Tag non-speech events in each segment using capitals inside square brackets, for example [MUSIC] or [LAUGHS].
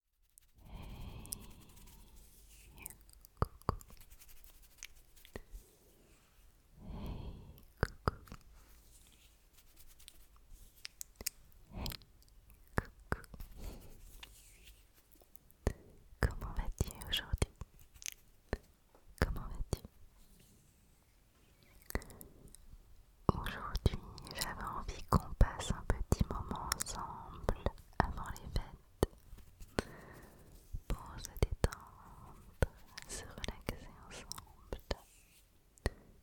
Hey, coucou. Hey, coucou. coucou. Comment vas-tu aujourd'hui Comment vas-tu Aujourd'hui, j'avais envie qu'on passe un petit moment ensemble avant les fêtes pour se détendre, se relaxer ensemble.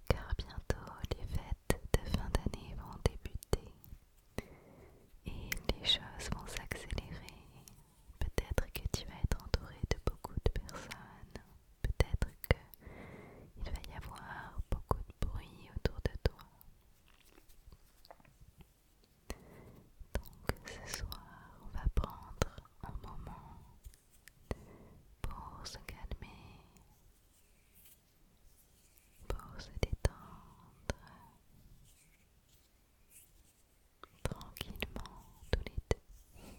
Car bientôt les fêtes de fin d'année vont débuter et les choses vont s'accélérer. Peut-être que tu vas être entouré de beaucoup de personnes, peut-être que il va y avoir beaucoup de bruit autour de toi. Donc ce soir, on va prendre un moment pour se calmer, pour se détendre tranquillement tous les deux.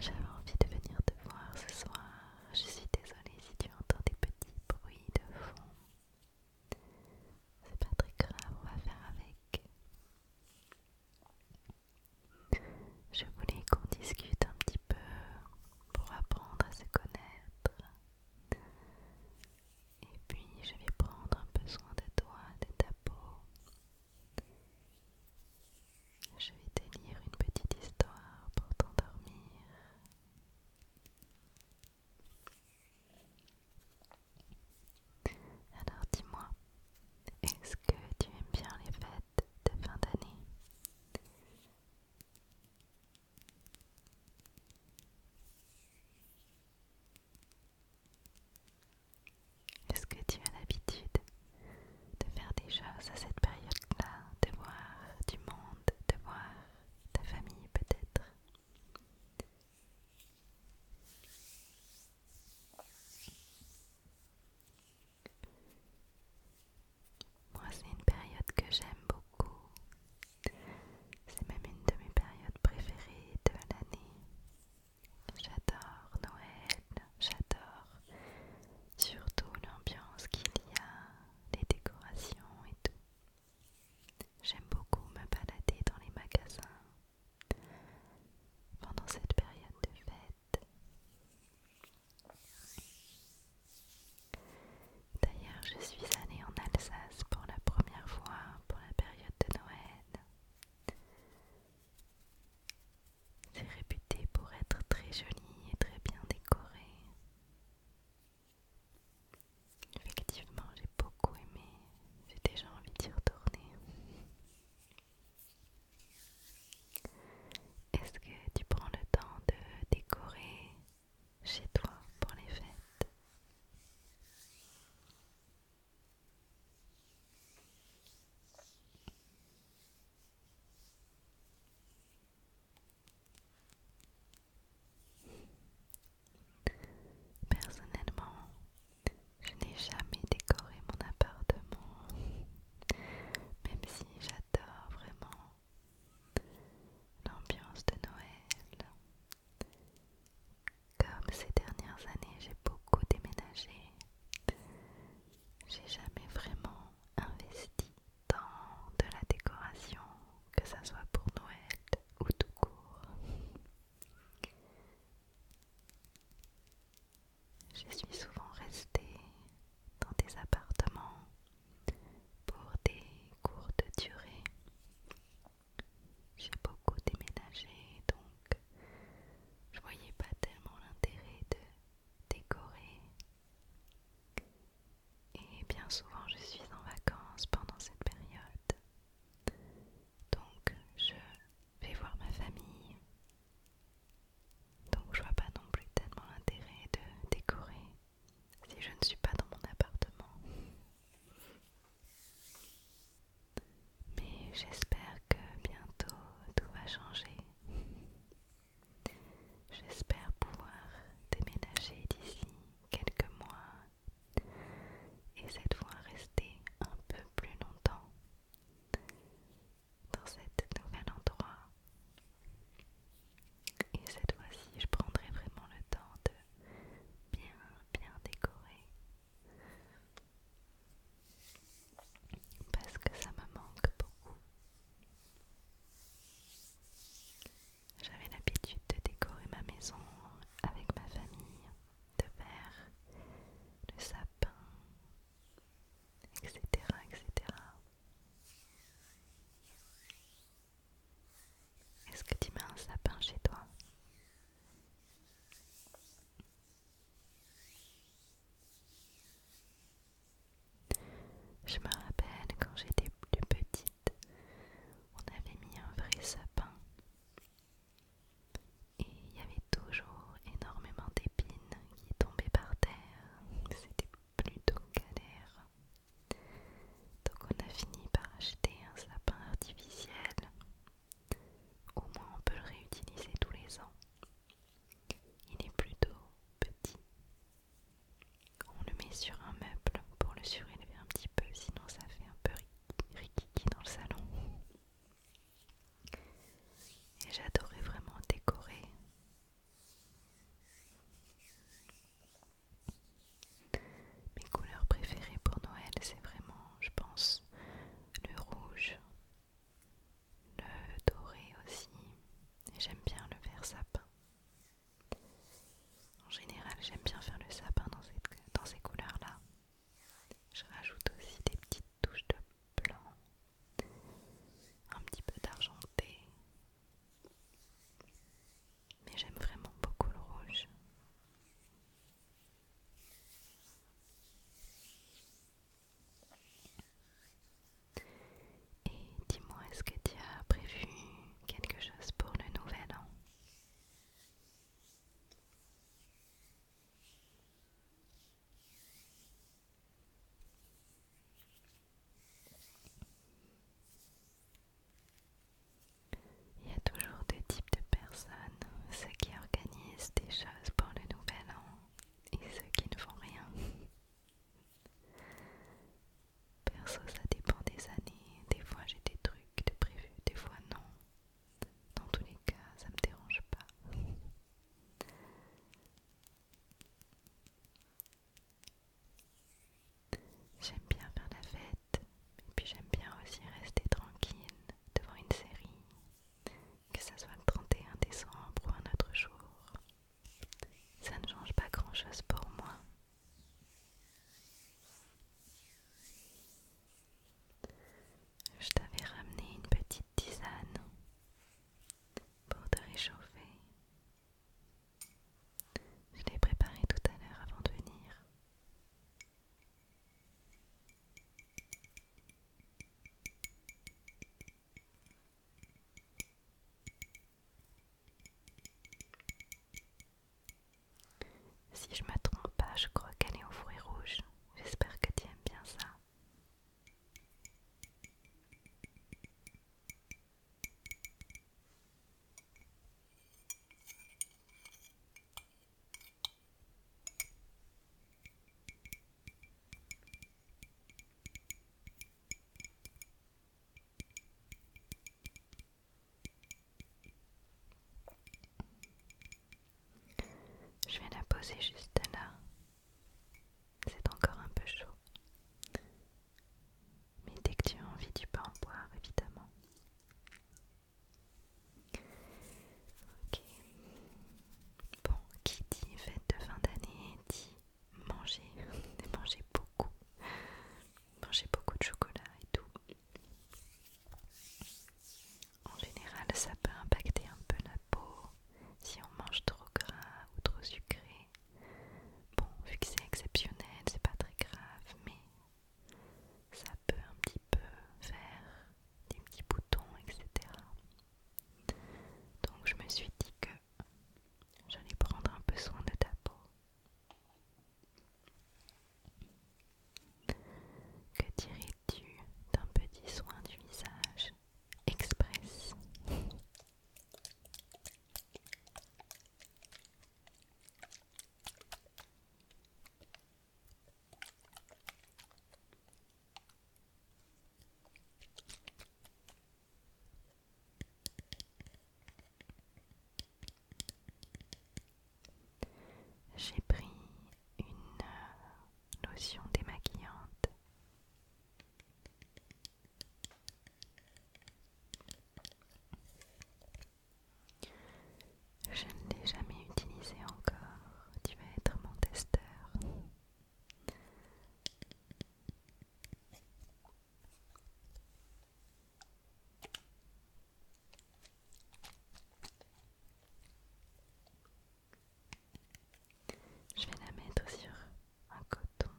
J'avais envie de venir te voir ce soir. Je suis désolée si tu entends des petits bruits de fond. C'est pas très grave, on va faire avec. Je voulais qu'on discute un petit peu pour apprendre à se connaître. Et puis je vais prendre un peu soin de toi, de ta peau, je vais te lire une petite histoire pour t'endormir. Alors dis-moi, est-ce que tu aimes bien les fêtes de fin d'année est-ce que tu as l'habitude de faire des choses à cette période-là, de voir du monde, de voir ta famille peut-être Moi, c'est une période que j'aime beaucoup. C'est même une de mes périodes préférées de l'année. J'adore Noël, j'adore. Surtout l'ambiance qu'il y a, les décorations et tout. J'aime beaucoup me balader dans les magasins pendant cette période de fête. D'ailleurs, je suis allée en Alsace pour la première fois pour la période de Noël. C'est réputé pour être très joli et très bien décoré. Effectivement, j'ai beaucoup aimé. J'ai déjà envie d'y retourner. Est-ce que tu prends le temps de décorer chez toi pour les fêtes Personnellement, je n'ai jamais décoré mon appartement, même si j'adore vraiment l'ambiance de Noël. Comme ces dernières années, j'ai beaucoup déménagé j'ai jamais vraiment investi dans de la décoration, que ça soit pour Noël ou tout court. Je suis souvent restée dans des appartements pour des cours de durée. J'ai beaucoup déménagé donc je voyais pas tellement l'intérêt de Décorer Et bien souvent, je suis en vacances pendant cette période. Donc, je vais voir ma famille. Donc, je vois pas non plus tellement l'intérêt de décorer si je ne suis pas dans mon appartement. Mais j'espère que bientôt tout va changer. J'espère pouvoir déménager d'ici quelques mois et cette fois rester un peu plus longtemps dans cet nouvel endroit. Et cette fois-ci, je prendrai vraiment le temps de bien, bien décorer parce que ça me manque beaucoup. J'avais l'habitude de décorer ma maison avec ma famille, de faire le sapin, etc. etc. Est-ce que tu mets un sapin chez toi je me rappelle quand j'étais plus petite, on avait mis un vrai sapin et il y avait toujours énormément d'épines qui tombaient par terre. C'était plutôt galère. Donc on a fini par acheter un sapin artificiel. Au moins on peut le réutiliser tous les ans. Il est plutôt petit. On le met sur un meuble pour le surélever un petit peu, sinon ça fait un peu rikiki dans le salon. Et j'adorais vraiment décorer. Mes couleurs préférées pour Noël, c'est vraiment, je pense, le rouge, le doré aussi, et j'aime bien le vert sapin. En général, j'aime bien faire le sapin dans, ces couleurs-là. Je rajoute aussi des petites touches de blanc, un petit peu d'argenté. Mais j'aime vraiment beaucoup le rouge. Et dis-moi, est-ce que tu as prévu quelque chose pour le nouvel an Il y a toujours deux types de personnes, ceux qui organisent des choses pour le nouvel an et ceux qui ne font rien. Perso, ça dépend des années. Des fois, j'ai des trucs de prévus, des fois non. Dans tous les cas, ça me dérange pas. J'aime bien faire la fête, et puis j'aime bien aussi rester tranquille devant une série que ce soit le 31 décembre ou un autre jour, ça ne change pas grand-chose pour moi. Je t'avais ramené une petite tisane pour te réchauffer. Je l'ai préparé tout à l'heure avant de venir. Si je me trompe pas, je crois qu'elle est aux fruits rouges. J'espère que tu aimes bien ça. Je vais la poser juste là. C'est encore un peu chaud. Mais dès que tu as envie, tu peux en boire, évidemment. Ok. Bon, qui dit fête de fin d'année dit manger, [LAUGHS] manger beaucoup, manger beaucoup de chocolat et tout. En général, ça peut impacter un peu la peau si on mange trop gras ou trop sucré. Bon, vu que c'est exceptionnel, c'est pas très grave, mais ça peut un petit peu faire des petits boutons, etc. Donc je me suis dit que j'allais prendre un peu soin de ta peau. Que dirais-tu d'un petit soin du visage express j'ai pris une euh, lotion démaquillante. Je ne l'ai jamais utilisé encore. Tu vas être mon testeur. Je vais la mettre sur un coton.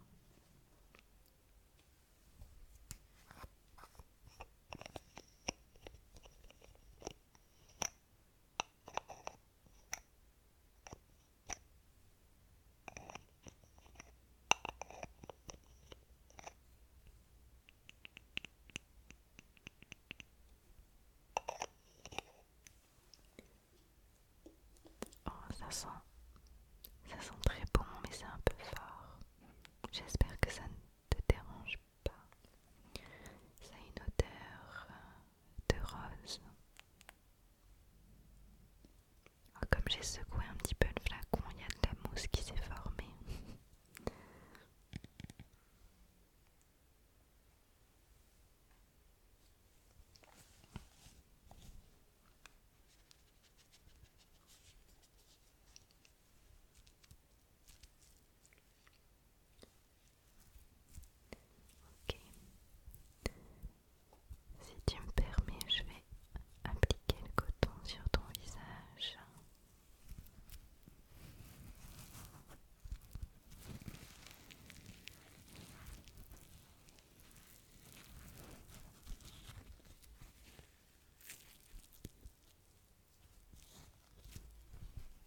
Oh, ça sent, ça sent très bon, mais c'est un peu fort. J'espère que ça ne te dérange pas. Ça a une odeur euh, de rose. Oh, comme j'ai secoué un petit peu le flacon, il y a de la mousse qui s'est formée. Si tu me permets, je vais appliquer le coton sur ton visage.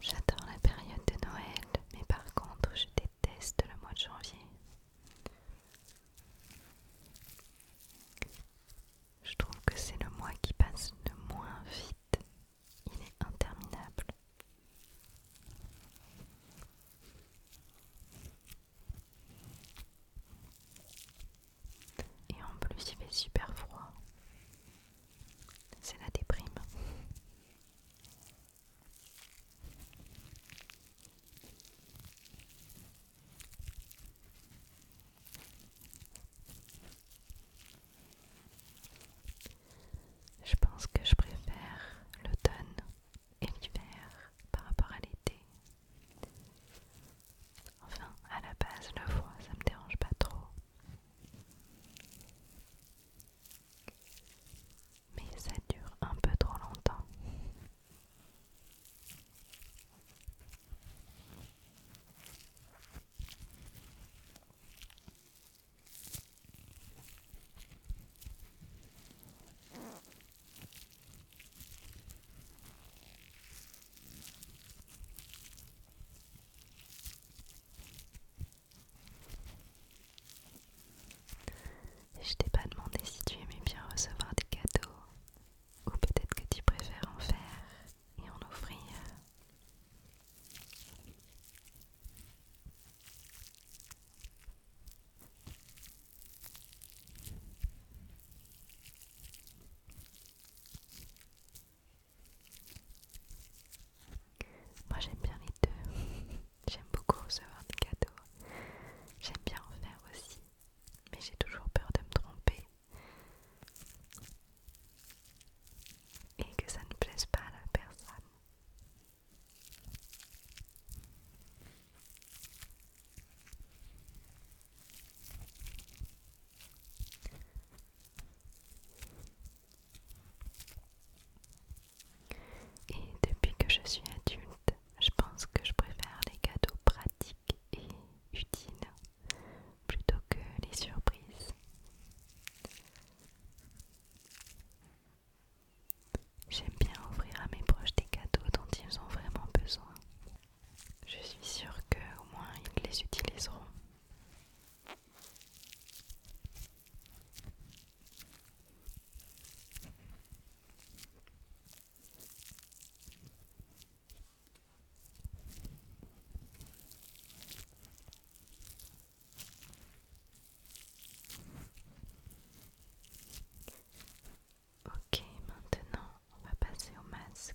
J'adore la période de Noël, mais par contre, je déteste le mois de janvier. Je trouve que c'est le mois qui passe le moins vite. Il est interminable. Et en plus, il fait super froid. C'est la déprime. Je pense que je préfère l'automne et l'hiver par rapport à l'été. Enfin, à la base, le froid, ça me dérange pas trop. Mais ça dure un peu trop longtemps. Je t'ai pas demandé si tu aimais bien recevoir des cadeaux ou peut-être que tu préfères en faire et en offrir. Moi j'aime bien les deux. [LAUGHS] j'aime beaucoup recevoir des cadeaux. J'aime bien en faire aussi. Mais j'ai toujours peur de me tromper. Et que ça ne plaise pas à la personne. Et depuis que je suis adulte, je pense que je préfère les cadeaux pratiques et utiles plutôt que les surprises. J'aime bien offrir à mes proches des cadeaux dont ils ont vraiment besoin. Je suis sûre qu'au moins ils les utiliseront. Ok, maintenant on va passer au masque.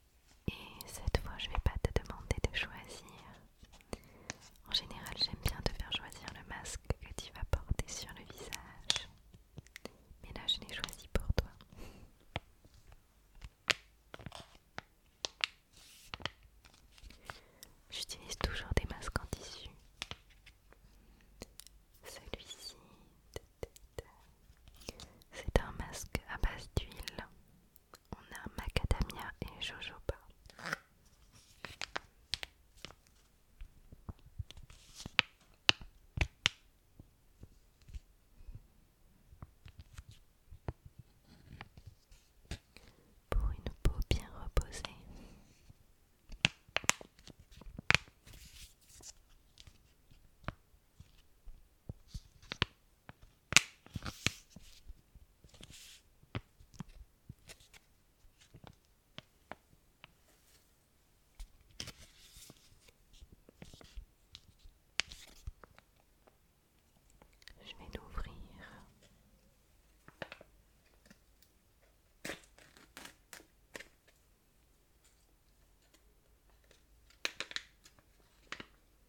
Et cette fois, je ne vais pas te demander de choisir. En général, j'aime bien te faire choisir le masque que tu vas porter sur le visage. Mais là, je l'ai choisi pour toi. J'utilise toujours des masques en tissu. Celui-ci, c'est un masque à base d'huile on a macadamia et jojoba. Pour une peau bien reposée. Je vais l'ouvrir.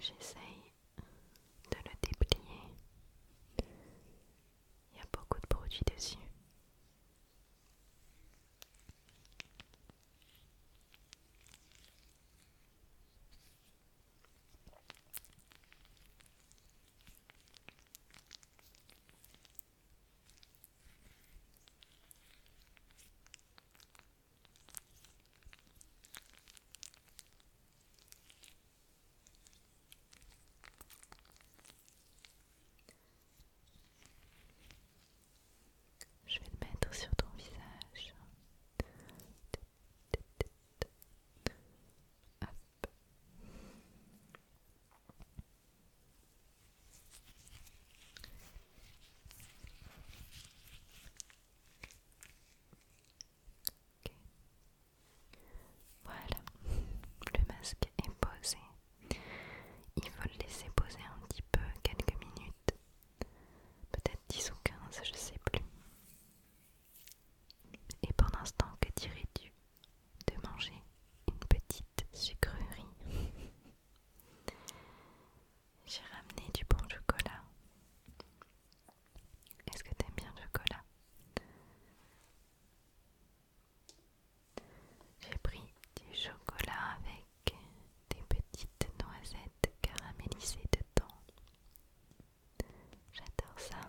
J'essaye de le déplier. Il y a beaucoup de produits dessus. Je vais le mettre sur ton visage. Voilà, le masque est posé. Il faut le laisser poser un petit peu, quelques minutes. Peut-être 10 ou 15, je sais plus. Et pendant ce temps, que dirais-tu de manger une petite sucrerie. [LAUGHS] J'ai ramené du bon chocolat. Est-ce que t'aimes bien le chocolat J'ai pris du chocolat avec des petites noisettes caramélisées dedans. J'adore ça.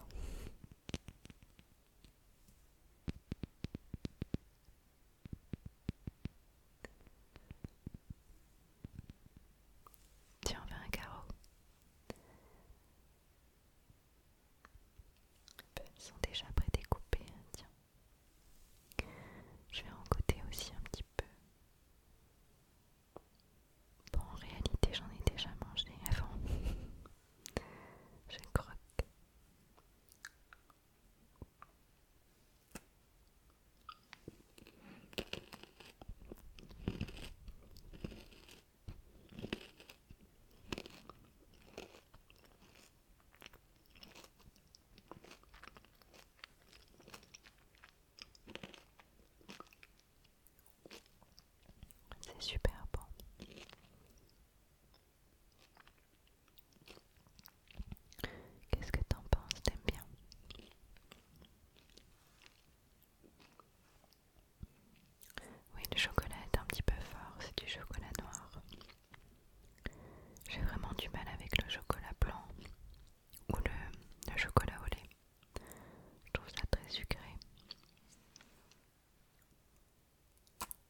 Tiens, on un carreau. Ils sont déjà prédécoupés, hein, tiens. Je vais en côté aussi un petit peu. Bon, en réalité, j'en ai déjà mangé avant. [LAUGHS] Je croque. C'est super bon. Qu'est-ce que t'en penses T'aimes bien Oui, le chocolat est un petit peu fort, c'est du chocolat noir. J'ai vraiment du mal avec le chocolat blanc ou le, le chocolat au lait. Je trouve ça très sucré.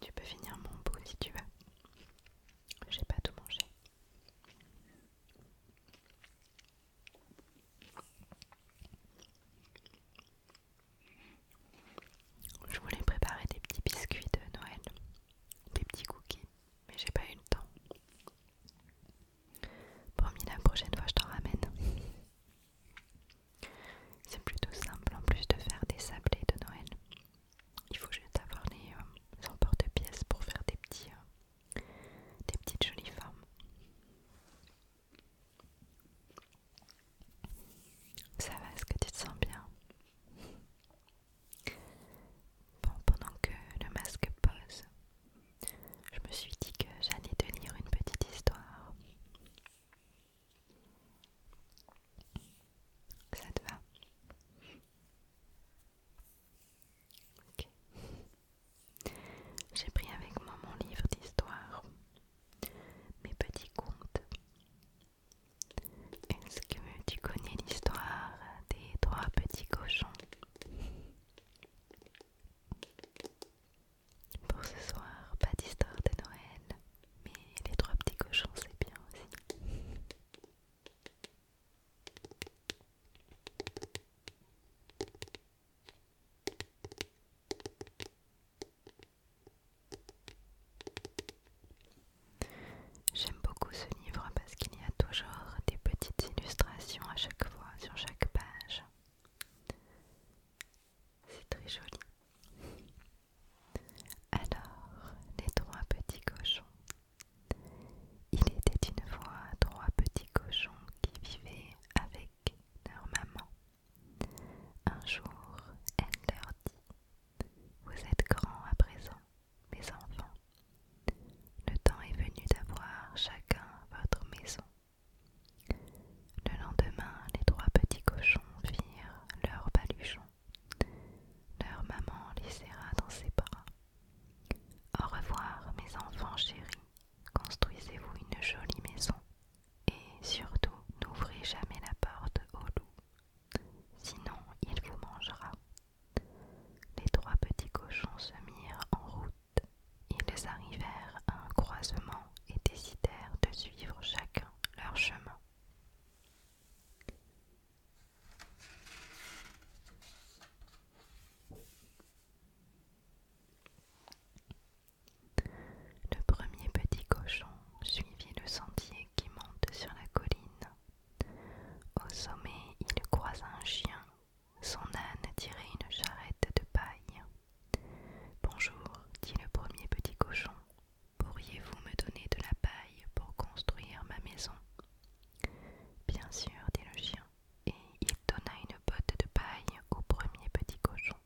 Tu peux finir mon pot si tu veux. J'ai pas tout mangé. Je voulais préparer des petits biscuits de Noël, des petits cookies, mais j'ai pas eu le temps. Promis, la prochaine fois je t'en ramène. C'est plutôt simple en plus de faire des sablés de Noël. Il faut juste avoir les, euh, emporte-pièces pour faire des, petits, euh, des petites jolies formes. Ça va, est-ce que tu te sens bien Bon, pendant que le masque pose, je me suis dit que j'allais te lire une petite histoire. Ça te va Ok. J'ai pris avec moi mon livre d'histoire, mes petits contes. Est-ce que tu connais l'histoire des trois petits cochons pour ce soir, pas d'histoire de Noël, mais les trois petits cochons, c'est bien aussi. J'aime beaucoup ce livre parce qu'il y a toujours des petites illustrations à chaque fois sur chaque page. C'est très joli. Alors, les trois petits cochons. Il était une fois trois petits cochons qui vivaient avec leur maman. Un jour, elle leur dit Vous êtes grands à présent, mes enfants. Le temps est venu d'avoir chacun votre maison le lendemain, les trois petits cochons virent leur baluchon. Leur maman les serra dans ses bras. Au revoir, mes enfants chéris, construisez-vous une jolie maison et surtout n'ouvrez jamais la porte au loup, sinon il vous mangera. Les trois petits cochons se mirent en route. Ils arrivèrent à un croisement et décidèrent de suivre chacun leur chemin. Le premier petit cochon suivit le sentier qui monte sur la colline. Au sommet, il croisa un chien. Son âne tirait une charrette de paille. Bonjour, dit le premier petit cochon, pourriez-vous me donner de la paille pour construire ma maison Bien sûr, dit le chien, et il donna une botte de paille au premier petit cochon.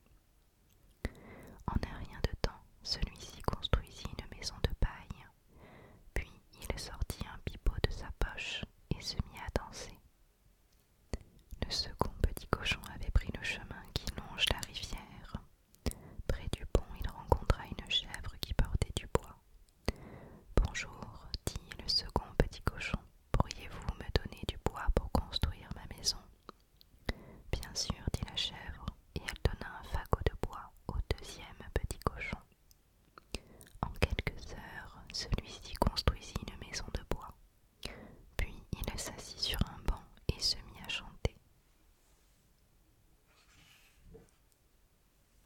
En un rien de temps, celui-ci construisit une maison de paille, puis il sortit un pipeau de sa poche et se mit à danser le second petit cochon avait pris le chemin qui longe la rivière. Près du pont, il rencontra une chèvre qui portait du bois. Bonjour, dit le second petit cochon, pourriez-vous me donner du bois pour construire ma maison Bien sûr, dit la chèvre, et elle donna un fagot de bois au deuxième petit cochon. En quelques heures, celui-ci construisit une maison de bois. Puis il s'assit sur un banc et se mit à chanter.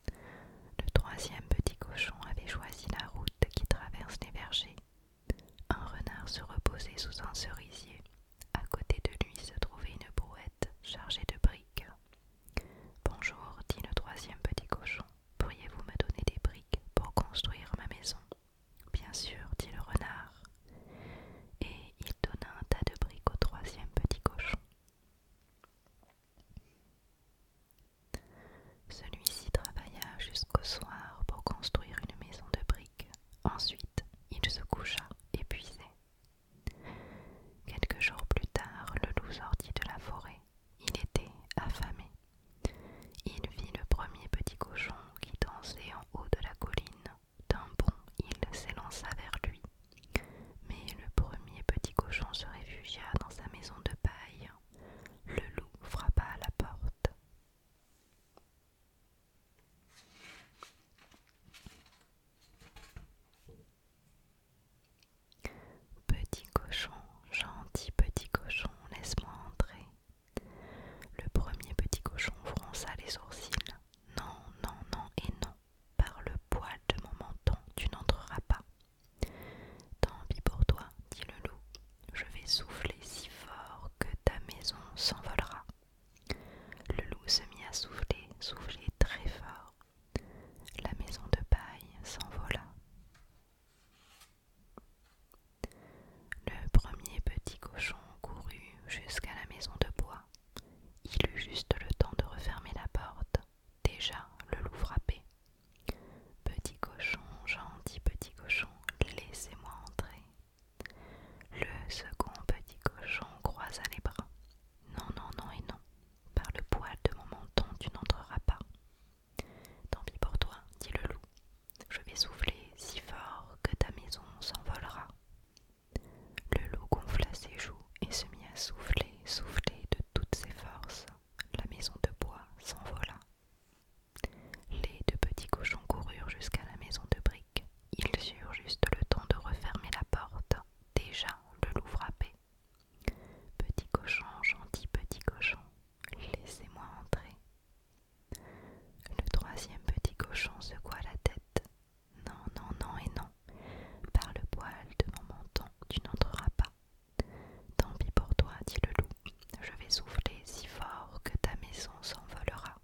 Le troisième petit cochon avait choisi la route qui traverse les vergers. Un renard se reposait sous un cerisier. À côté de lui se trouvait une brouette chargée de briques. Bonjour, dit le troisième petit cochon. Pourriez-vous me donner des briques pour construire ma maison Bien sûr, dit le renard, et il donna un tas de briques au troisième petit cochon. Celui-ci travailla jusqu'au soir pour construire une maison de briques. Ensuite, il se coucha, épuisé. Quelques jours plus tard, le loup sortit de la forêt. Il était affamé. Il vit le premier petit cochon qui dansait en haut de la colline. D'un bond, il s'élança vers lui. Mais le premier petit cochon se réfugia dans sa maison de paille. Le loup frappa à la porte. Petit cochon, gentil petit cochon, laisse-moi entrer. Le premier petit cochon fronça les sourcils. Non, non, non et non, par le poil de mon menton, tu n'entreras pas. Tant pis pour toi, dit le loup, je vais souffler si fort que ta maison s'envolera. Le loup se mit à souffler, souffler très fort. La maison de paille s'envola. Le premier petit cochon courut jusqu'à la maison de bois. Il eut juste le temps de refermer la porte. Déjà le loup frappait. Petit cochon, gentil petit cochon, laissez-moi entrer. Le second petit cochon croisa les bras. Non, non, non et non. Par le poil de mon menton, tu n'entreras pas. Tant pis pour toi, dit le loup. Je vais souffler si fort que ta maison s'envolera. Le loup gonfla ses joues et se mit à souffler, souffler de toutes ses forces. La maison de bois s'envola. Les deux petits cochons coururent jusqu'à la maison de briques. Ils eurent juste le temps de refermer la porte. Déjà le loup frappait. Petit cochon, gentil petit cochon, laissez-moi entrer, le troisième petit cochon secoua la tête. Non, non, non et non. Par le poil de mon menton, tu n'entreras pas. Tant pis pour toi, dit le loup. Je vais souffler si fort que ta maison s'envolera.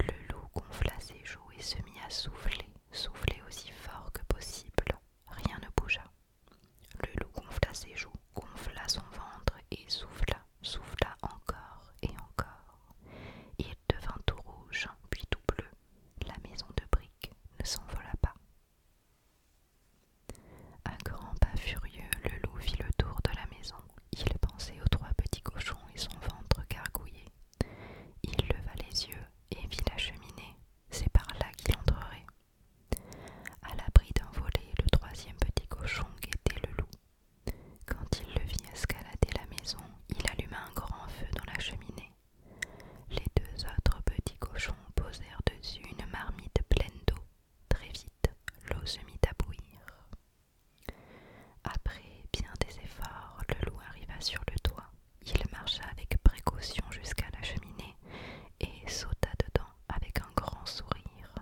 Le loup gonfla ses joues et se mit à souffler, souffler aussi fort que possible. Rien ne bougea. Le loup gonfla ses joues, gonfla son ventre et souffla, souffla encore et encore. Il devint tout rouge, puis tout bleu. La maison de briques ne s'envola pas. Un grand pas furieux, le loup fit le tour de la maison. Il pensait aux trois petits cochons et son ventre gargouillé. Il leva les yeux et vit la cheminée. C'est par là qu'il entrerait. À l'abri d'un volet, le troisième petit cochon guettait le loup. Quand il le vit escalader la maison, il alluma un grand feu dans la cheminée. Les deux autres petits cochons posèrent dessus une marmite pleine d'eau. Très vite, l'eau se mit à bouillir. Après bien des efforts, le loup arriva sur le toit. Il marcha avec précaution jusqu'à la cheminée et sauta dedans avec un grand sourire.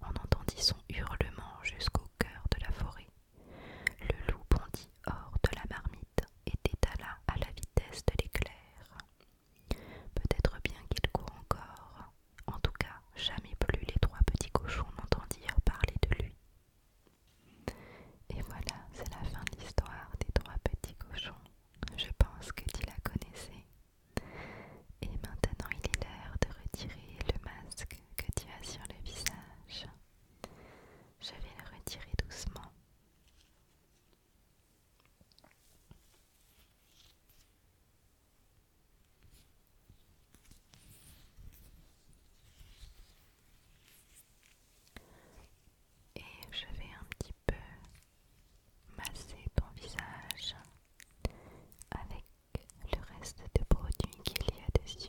On entendit son hurlement jusqu'au cœur de la forêt. Le loup bondit hors de la marmite et détala à la vitesse de l'éclair. Peut-être bien qu'il court encore. En tout cas, jamais plus les trois petits cochons n'entendirent parler de lui. Et voilà, c'est la fin de l'histoire des trois petits cochons. Je pense que tu la connaissais. Et maintenant, il est l'heure de retirer le masque que tu as sur le visage. Je vais le retirer doucement. Et je vais un petit peu masser ton visage avec le reste des produits qu'il y a dessus.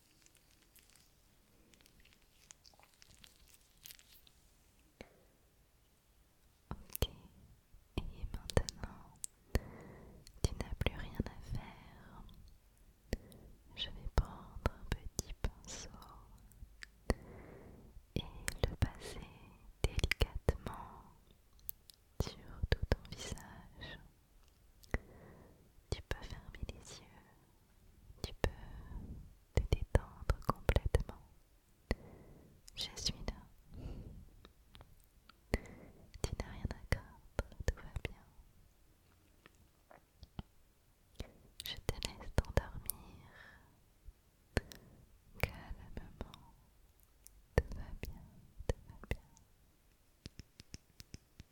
Ok, et maintenant, tu n'as plus rien à faire. Je vais prendre un petit pinceau et le passer délicatement sur tout ton visage. Tu peux fermer les yeux, tu peux te détendre complètement. Je suis là. Tu n'as rien à craindre, tout va bien. Je te laisse t'endormir. Calmement. Tout va bien, tout va bien.